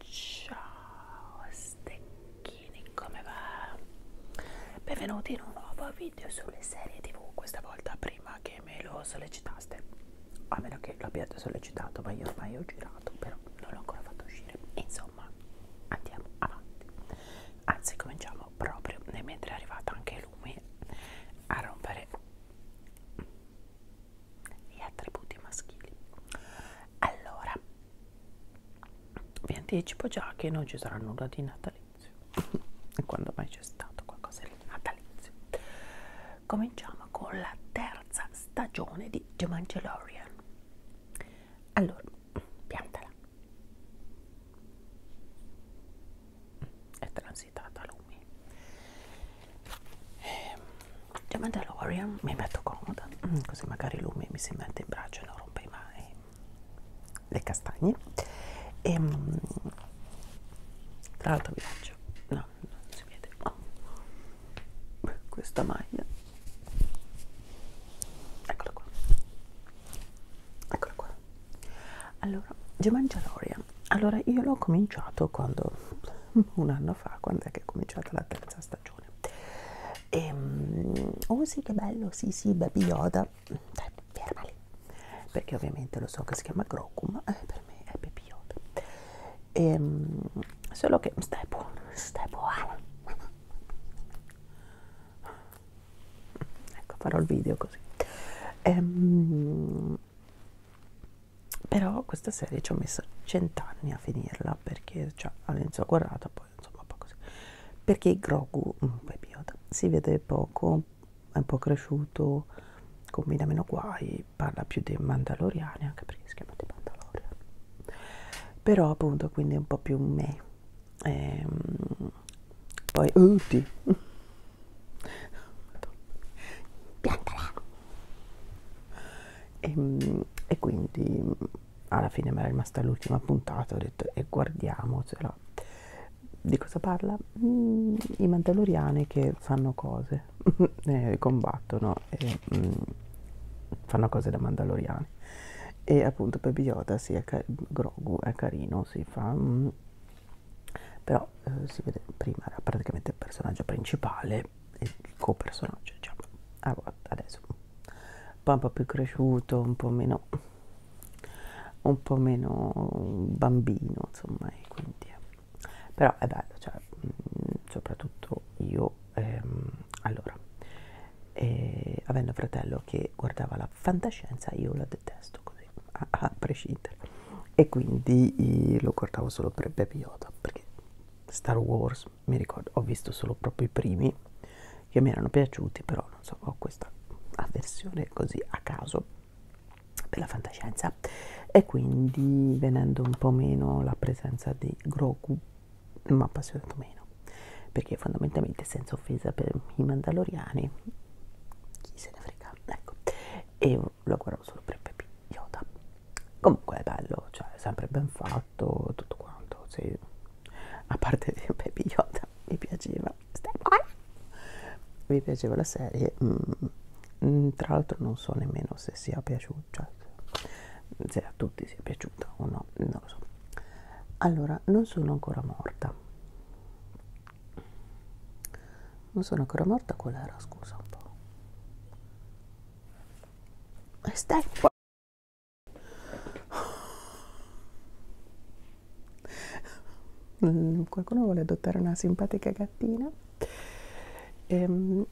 Ciao stecchini, come va? Benvenuti in un nuovo video sulle serie tv, questa volta prima che me lo sollecitaste, a meno che l'abbiate sollecitato, ma io ormai ho girato, però non l'ho ancora fatto uscire. Insomma, andiamo avanti. Anzi, cominciamo proprio mentre è arrivata anche lui a rompere gli attributi maschili allora vi anticipo già che non ci sarà nulla di natalizio quando mai c'è stato qualcosa di natalizio cominciamo con la terza stagione di The Mandalorian allora piantala è transitata lumi e, ehm, The Mandalorian mi metto comoda mm, così magari lumi mi si mette in braccio e non rompe mai le castagne e ehm, tra l'altro vi faccio no, non si vede oh. questa maglia eccola qua eccola qua allora The idea. Allora, io l'ho cominciato quando un anno fa, quando è che è cominciata la terza stagione. E, ehm, oh sì, che bello, sì, sì, Baby Yoda. Dai, ferma lì. Perché ovviamente lo so che si chiama Grogu, ma eh, per me è Baby Yoda. E, ehm, solo che stai buono, stai buono. Ecco, farò il video così. E, ehm, però questa serie ci ho messo cent'anni a finirla perché cioè, all'inizio ho guardato poi insomma un po' così perché Grogu Yoda, si vede poco è un po' cresciuto combina meno guai parla più dei mandaloriani anche perché si chiama di mandalorian però appunto quindi è un po' più me ehm, poi uh, piantala e, ehm, e quindi alla fine mi era rimasta l'ultima puntata ho detto e guardiamocela di cosa parla? Mm, i mandaloriani che fanno cose eh, combattono e mm, fanno cose da mandaloriani e appunto Baby Yoda si sì, è Grogu è carino si fa mm, però eh, si vede prima era praticamente il personaggio principale e il copersonaggio diciamo allora, ah, adesso poi un po' più cresciuto un po' meno un po' meno bambino insomma e quindi eh. però è bello cioè mh, mm, soprattutto io ehm, allora eh, avendo un fratello che guardava la fantascienza io la detesto così a, a prescindere e quindi eh, lo guardavo solo per Baby Yoda perché Star Wars mi ricordo ho visto solo proprio i primi che mi erano piaciuti però non so ho questa avversione così a caso per la fantascienza e quindi venendo un po' meno la presenza di Grogu mi ha appassionato meno perché fondamentalmente senza offesa per i mandaloriani chi se ne frega ecco e lo guardavo euro solo per il baby Yoda comunque è bello cioè è sempre ben fatto tutto quanto sì. a parte il baby Yoda mi piaceva stai buona mi piaceva la serie mm. mm, tra l'altro non so nemmeno se sia piaciuta cioè, se a tutti sia piaciuta o no non lo so allora non sono ancora morta non sono ancora morta qual era scusa un po' e stai qua mm, qualcuno vuole adottare una simpatica gattina ehm.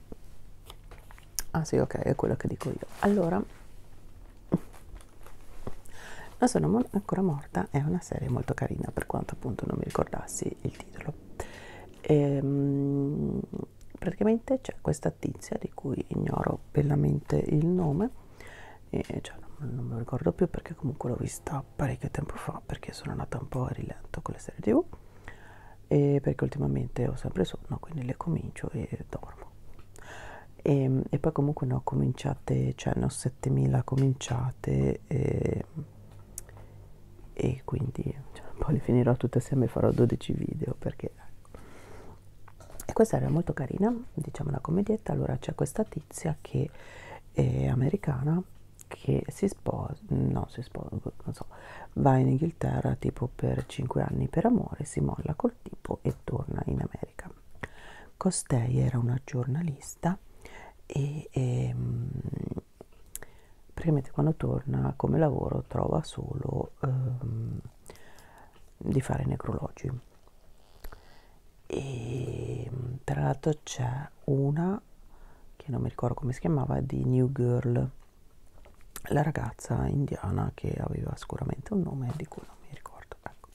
ah sì ok è quello che dico io allora non sono ancora morta è una serie molto carina per quanto appunto non mi ricordassi il titolo ehm, praticamente c'è questa tizia di cui ignoro bellamente il nome e cioè non, non me lo ricordo più perché comunque l'ho vista parecchio tempo fa perché sono andata un po' a rilento con le serie tv e perché ultimamente ho sempre sonno quindi le comincio e dormo e, ehm, e poi comunque ne ho cominciate, cioè ne ho 7000 cominciate e ehm, e quindi cioè, poi le finirò tutte assieme e farò 12 video perché e questa era molto carina diciamo una commedietta allora c'è questa tizia che è americana che si sposa no si sposa non so va in Inghilterra tipo per 5 anni per amore si molla col tipo e torna in America costei era una giornalista e, e ehm, praticamente quando torna come lavoro trova solo ehm, di fare necrologi e tra l'altro c'è una che non mi ricordo come si chiamava di New Girl la ragazza indiana che aveva sicuramente un nome di cui non mi ricordo ecco.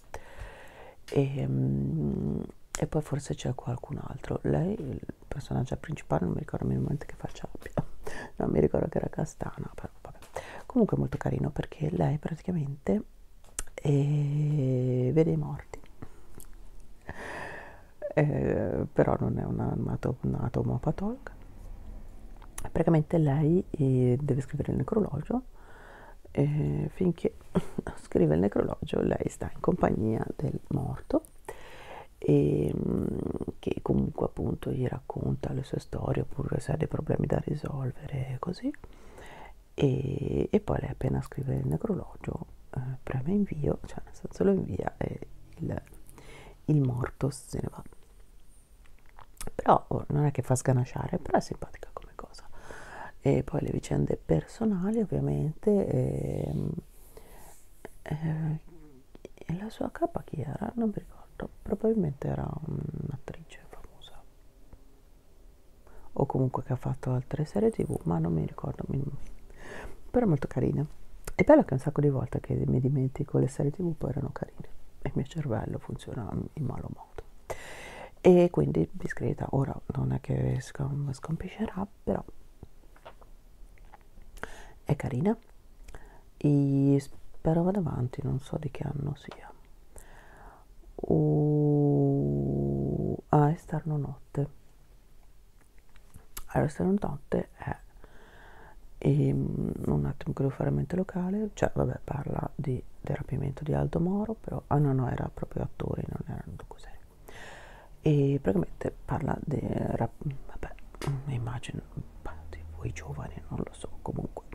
e, ehm, e poi forse c'è qualcun altro lei personaggio principale non mi ricordo minimamente che faccia abbia non mi ricordo che era castana però vabbè comunque molto carino perché lei praticamente eh, vede i morti eh, però non è una, una, una tomopatologa praticamente lei eh, deve scrivere il necrologio eh, finché scrive il necrologio lei sta in compagnia del morto e mm, che comunque appunto gli racconta le sue storie oppure se ha dei problemi da risolvere così e, e poi lei appena scrive il necrologio eh, preme invio cioè nel senso lo invia e il, il morto se ne va però oh, non è che fa sganasciare però è simpatica come cosa e poi le vicende personali ovviamente ehm, eh, e la sua capa chi era? Non mi ricordo, probabilmente era un'attrice famosa o comunque che ha fatto altre serie tv, ma non mi ricordo però è molto carina è bello che un sacco di volte che mi dimentico le serie tv poi erano carine e il mio cervello funziona in malo modo e quindi discreta ora non è che scom scompiscerà però è carina e spero vada avanti non so di che anno sia uh, ah esterno notte allora esterno notte è e, ehm, un attimo che devo fare mente locale cioè vabbè parla di, del rapimento di Aldo Moro però ah no no era proprio attore non era cos'è vedere e praticamente parla di vabbè mm, immagino di voi giovani non lo so comunque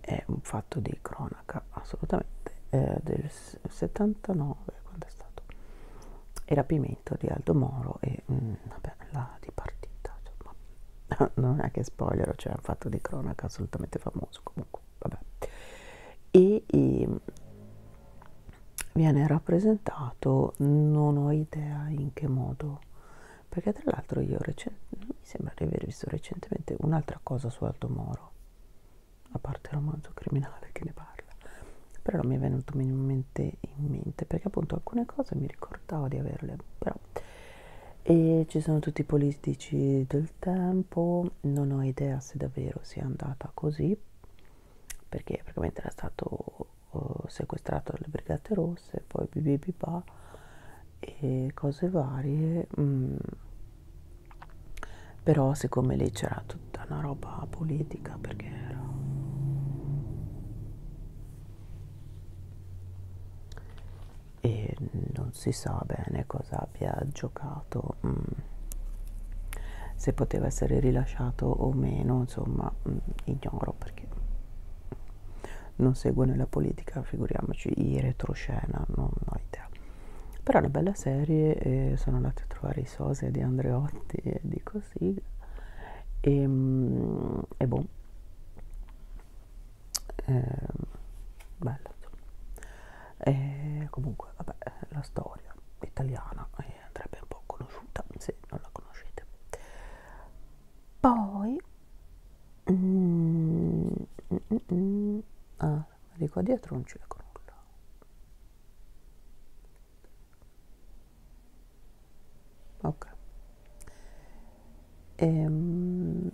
è un fatto di cronaca assolutamente eh, del 79 quando è stato il rapimento di Aldo Moro e mh, mm, vabbè la dipartita insomma non è che spoiler c'è cioè un fatto di cronaca assolutamente famoso comunque vabbè e, e ehm, viene rappresentato non ho idea in che modo perché tra l'altro io mi sembra di aver visto recentemente un'altra cosa su Aldo Moro a parte il romanzo criminale che ne parla però non mi è venuto minimamente in mente perché appunto alcune cose mi ricordavo di averle però e ci sono tutti i politici del tempo non ho idea se davvero sia andata così perché praticamente era stato uh, sequestrato dalle Brigate Rosse, poi bibibiba e cose varie, mm. però siccome lì c'era tutta una roba politica perché era e non si sa bene cosa abbia giocato valutato mh, mm, se poteva essere rilasciato o meno, insomma mh, mm, ignoro perché non seguo nella politica, figuriamoci i retroscena, non ho idea. Però è una bella serie, eh, sono andata a trovare i Sose di Andreotti e di così, e, mh, mm, e boh, ehm, eh, bella. E comunque, vabbè, la storia italiana è che andrebbe un po' conosciuta se non la conoscete poi mm, mm, mm, mm ah, di qua dietro non ci leggo nulla ok ehm,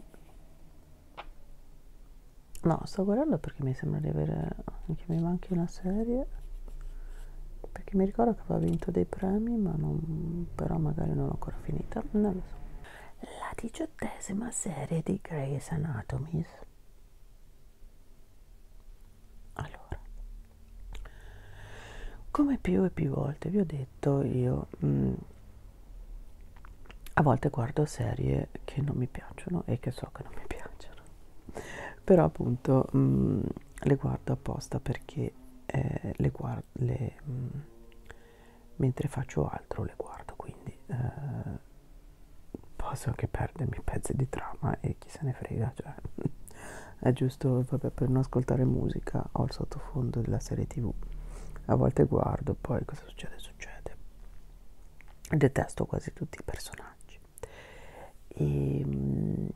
no sto guardando perché mi sembra di avere che mi manca anche una serie perché mi ricordo che aveva vinto dei premi ma non, però magari non l'ho ancora finita non lo so la diciottesima serie di Grey's Anatomy allora come più e più volte vi ho detto io mh, mm, a volte guardo serie che non mi piacciono e che so che non mi piacciono vero però appunto mh, mm, le guardo apposta perché eh, le guardo le, mh, mm, mentre faccio altro le guardo quindi eh, posso anche perdermi pezzi di trama e chi se ne frega cioè è giusto vabbè, per non ascoltare musica ho il sottofondo della serie tv a volte guardo poi cosa succede succede detesto quasi tutti i personaggi personaggi e, ehm,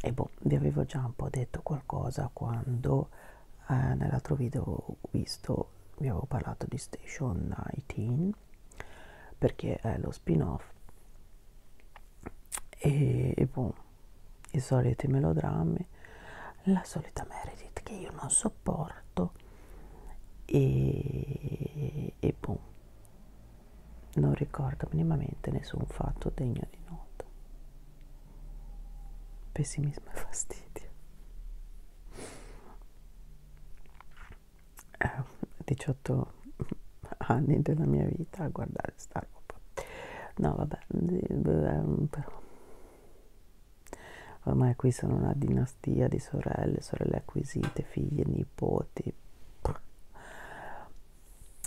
e boh, vi avevo già un po' detto qualcosa quando eh, nell'altro video ho visto vi avevo parlato di Station 18 perché è lo spin-off e, e boh, i soliti melodrammi la solita Meredith che io non sopporto e, e boom, non ricordo minimamente nessun fatto degno di nota. Pessimismo e fastidio. Eh, 18 anni della mia vita a guardare sta roba. No, vabbè, però ormai qui sono una dinastia di sorelle, sorelle acquisite, figlie, nipoti nipoti.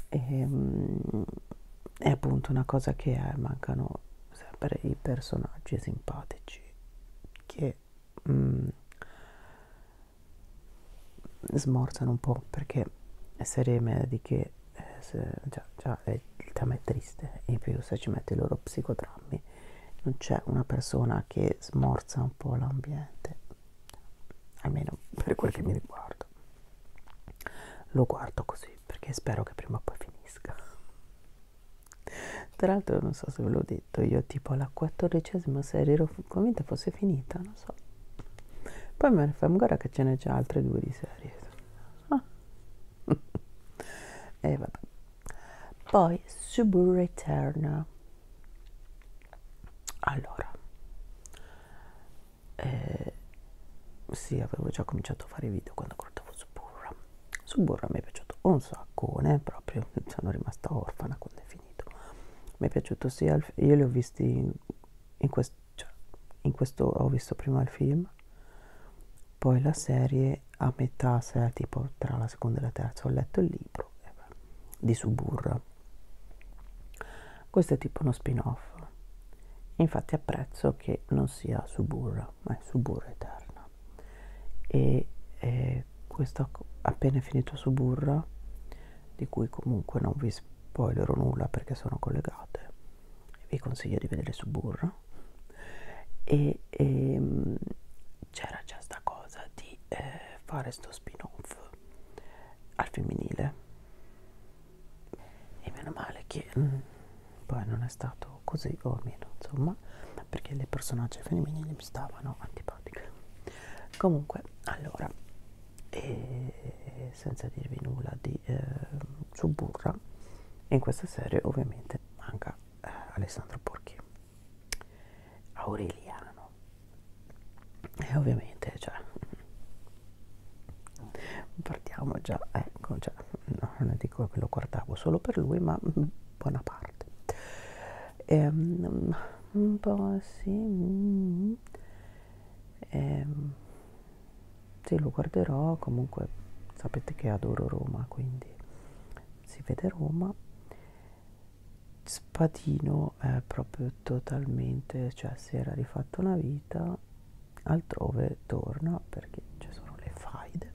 E, ehm, è appunto una cosa che è, eh, mancano sempre i personaggi simpatici che mm, smorzano un po' perché serie mediche eh, se, già, già è, il tema è triste in più se ci metti i loro psicodrammi non c'è una persona che smorza un po' l'ambiente, almeno per quel che mi riguarda. Lo guardo così perché spero che prima o poi finisca. Tra l'altro non so se ve l'ho detto, io tipo alla quattordicesima serie ero convinta fosse finita, non so. Poi mi hanno fatto guarda che ce n'è già altre due di serie. Ah. e eh, vabbè. Poi Subu Return allora eh, sì avevo già cominciato a fare video quando guardavo Suburra Suburra mi è piaciuto un saccone proprio sono rimasta orfana quando è finito mi è piaciuto sia il, io li ho visti in, in, quest, cioè, in questo ho visto prima il film poi la serie a metà se tipo tra la seconda e la terza ho letto il libro e di Suburra. Questo è tipo uno spin-off. Infatti apprezzo che non sia Suburra, ma è Suburra Eterna. E eh, questo appena finito Suburra, di cui comunque non vi spoilerò nulla perché sono collegate, vi consiglio di vedere Suburra. E, e ehm, c'era già sta cosa di di eh, fare sto spin off al femminile e meno male che mh, mm, poi non è stato così o almeno insomma perché le personaggi femminili mi stavano antipatiche comunque allora e senza dirvi nulla di eh, Suburra in questa serie ovviamente manca eh, Alessandro Porchi Aureliano e eh, ovviamente cioè partiamo già ecco già cioè, no, non dico che lo guardavo solo per lui ma buona parte ehm, un po' sì mm. ehm, sì lo guarderò comunque sapete che adoro Roma quindi si vede Roma Spadino è proprio totalmente, cioè si era rifatto una vita, altrove torna perché ci sono le faide.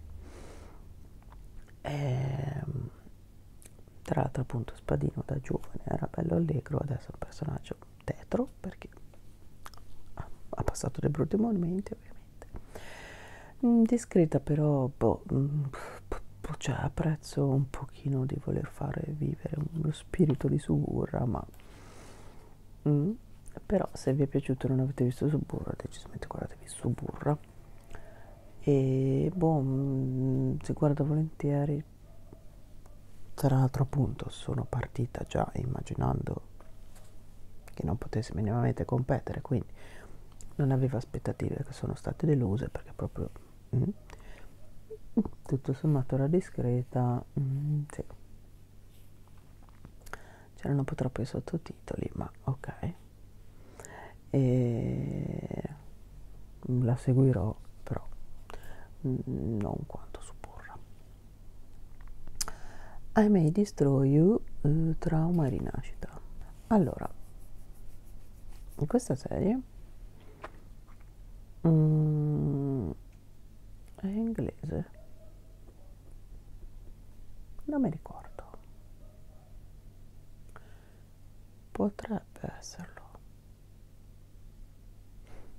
E, ehm, tra l'altro appunto Spadino da giovane era bello allegro, adesso è un personaggio tetro perché ha passato dei brutti momenti ovviamente. Mm, discreta però boh, mm, boh, cioè, apprezzo un pochino di voler fare vivere lo spirito di Suburra ma mm, però se vi è piaciuto e non avete visto Suburra decisamente guardatevi Suburra e boh mm, si guarda volentieri tra l'altro appunto sono partita già immaginando che non potessi minimamente competere quindi non aveva aspettative che sono state deluse perché proprio mm, tutto sommato era discreta mm, sì. c'erano un po' troppi sottotitoli ma ok e la seguirò però mm, non quanto supporra I may destroy you uh, trauma e rinascita allora in questa serie mm, è inglese non mi ricordo potrebbe esserlo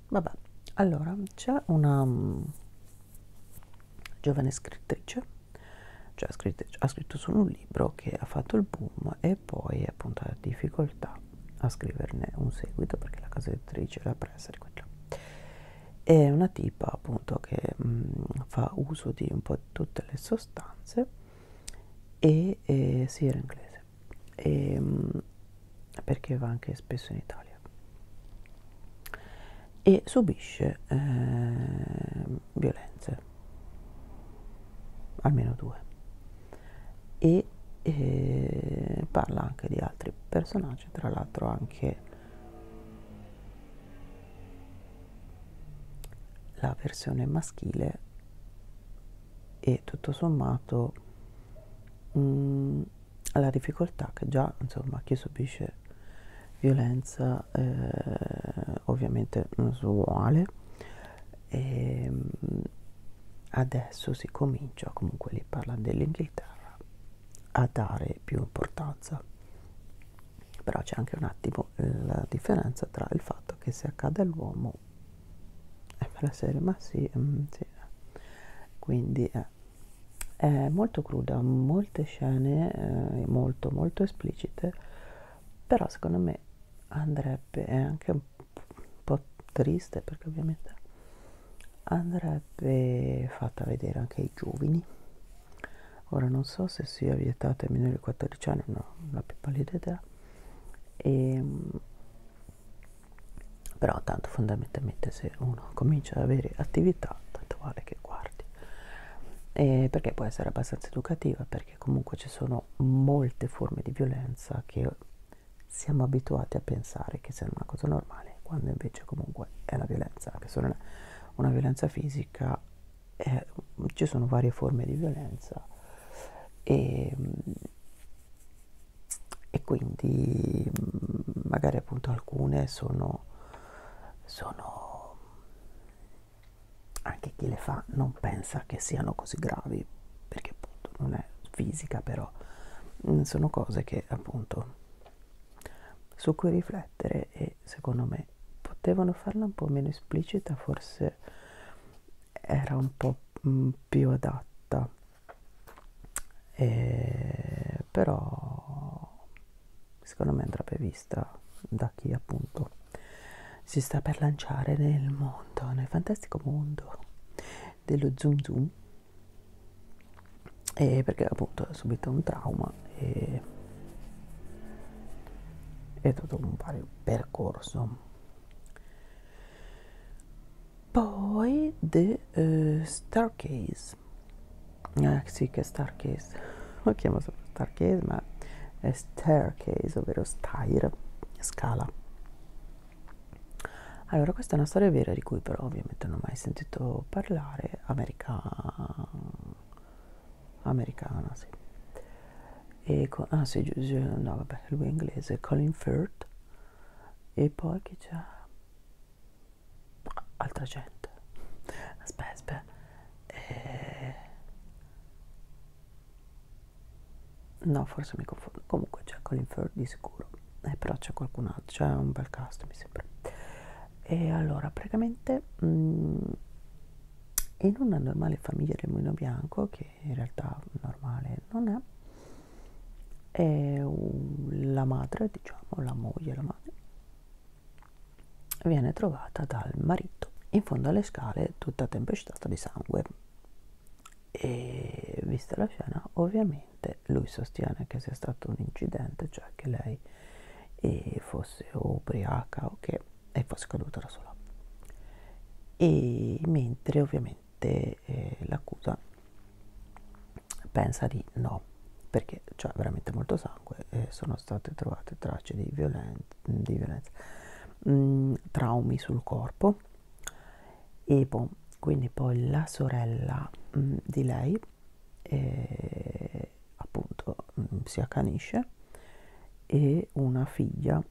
vabbè allora c'è una um, giovane scrittrice cioè ha scritto, ha scritto solo un libro che ha fatto il boom e poi appunto ha difficoltà a scriverne un seguito perché la casa editrice l'ha presa di quello è una tipa appunto che mh, mm, fa uso di un po' di tutte le sostanze e, e si sì, era inglese e, mh, mm, perché va anche spesso in Italia e subisce eh, violenze, almeno due. E e eh, parla anche di altri personaggi, tra l'altro anche la versione maschile e tutto sommato mh, mm, la difficoltà che già insomma chi subisce violenza eh, ovviamente non so uguale e ehm, adesso si comincia, comunque lì parla dell'Inghilterra, a dare più importanza. Però c'è anche un attimo eh, la differenza tra il fatto che se accade all'uomo è eh, per la serie, ma sì, mm, sì. Eh. quindi eh, è molto cruda, molte scene eh, molto molto esplicite, però secondo me andrebbe è anche un po' triste perché ovviamente andrebbe fatta vedere anche ai giovani ora non so se sia vietata ai minori di 14 anni non ho la più pallida idea e, ehm, però tanto fondamentalmente se uno comincia ad avere attività tanto vale che guardi e eh, perché può essere abbastanza educativa per perché comunque ci sono molte forme di violenza che siamo abituati a pensare che siano una cosa normale, quando invece comunque è una violenza, anche solo una, una violenza fisica, eh, ci sono varie forme di violenza e, ehm, e quindi magari appunto alcune sono, sono anche chi le fa non pensa che siano così gravi perché appunto non è fisica però mm, sono cose che appunto su cui riflettere e secondo me potevano farla un po' meno esplicita forse era un po' mm, più adatta e però secondo me andrebbe vista vista da chi appunto si sta per lanciare nel mondo, nel fantastico mondo dello zoom zoom e perché appunto ha subito un trauma e è tutto un pari percorso poi The uh, Starcase ah sì che Starcase lo chiamo solo Starcase ma staircase, ovvero stair, scala. Allora, questa è una storia vera di cui però ovviamente non ho mai sentito parlare, America... americana, sì. E con... Ah sì, no vabbè, lui è inglese, Colin Firth. E poi che c'è? Altra gente. Aspetta, aspetta. E... Eh, no forse mi confondo comunque c'è Colin Firth di sicuro eh, però c'è qualcun altro c'è un bel cast mi sembra e allora praticamente mh, mm, in una normale famiglia del mulino bianco che in realtà normale non è e la madre, diciamo, la moglie, la madre, viene trovata dal marito letto, in fondo alle scale tutta tempestata di sangue. E vista la scena, ovviamente lui sostiene che sia stato un incidente, cioè che lei eh, fosse ubriaca o che e fosse caduta da sola. E mentre ovviamente eh, l'accusa pensa di no, perché c'è cioè, veramente molto sangue, eh, sono state trovate tracce di violenza di violenza, mh, mm, traumi sul corpo e boh, quindi poi la sorella mh, mm, di lei eh, appunto mh, mm, si accanisce e una figlia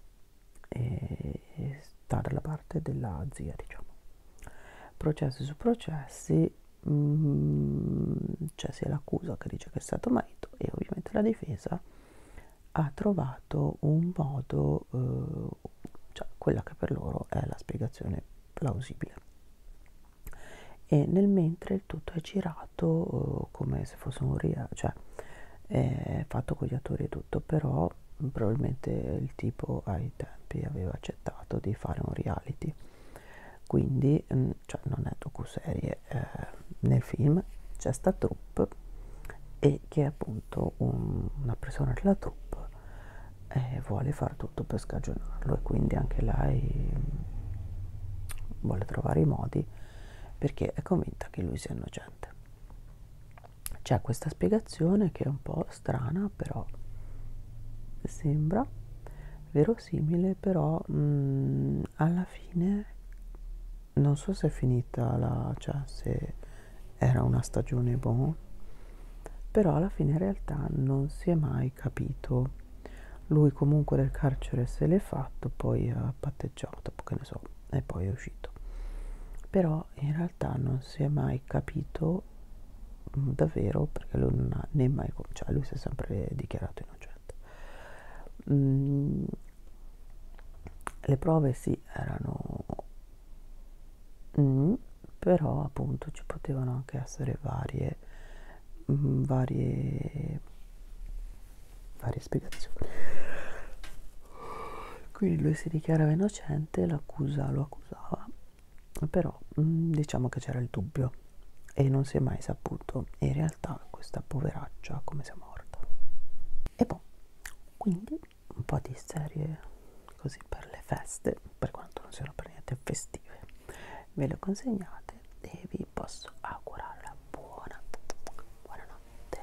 eh, sta dalla parte della zia, diciamo. Processi su processi, mh, c'è cioè sia l'accusa che dice che è stato marito e ovviamente la difesa ha trovato un modo, eh, cioè quella che per loro è la spiegazione plausibile. E nel mentre il tutto è girato eh, come se fosse un real, cioè è fatto con gli attori e tutto, però probabilmente il tipo ai tempi aveva accettato di fare un reality quindi mh, cioè non è docuserie eh, nel film c'è sta troupe e che appunto un, una persona della troupe eh, vuole fare tutto per scagionarlo e quindi anche lei mm, vuole trovare i modi perché è convinta che lui sia innocente. C'è questa spiegazione che è un po' strana, però sembra verosimile, però mh, mm, alla fine non so se è finita la cioè se era una stagione boh però alla fine in realtà non si è mai capito lui comunque del carcere se l'è fatto poi ha patteggiato che ne so e poi è uscito però in realtà non si è mai capito mh, mm, davvero perché lui non ha né mai cioè lui si è sempre dichiarato innocente mh, mm, le prove sì erano mm, però appunto ci potevano anche essere varie mm, varie varie spiegazioni quindi lui si dichiarava innocente l'accusa lo accusava però mm, diciamo che c'era il dubbio e non si è mai saputo in realtà realtà questa poveraccia come se morta. E poi, boh, quindi, un po' di serie così per le feste, per quanto non siano per niente festive, ve le consegnate e vi posso augurare la buona buonanotte.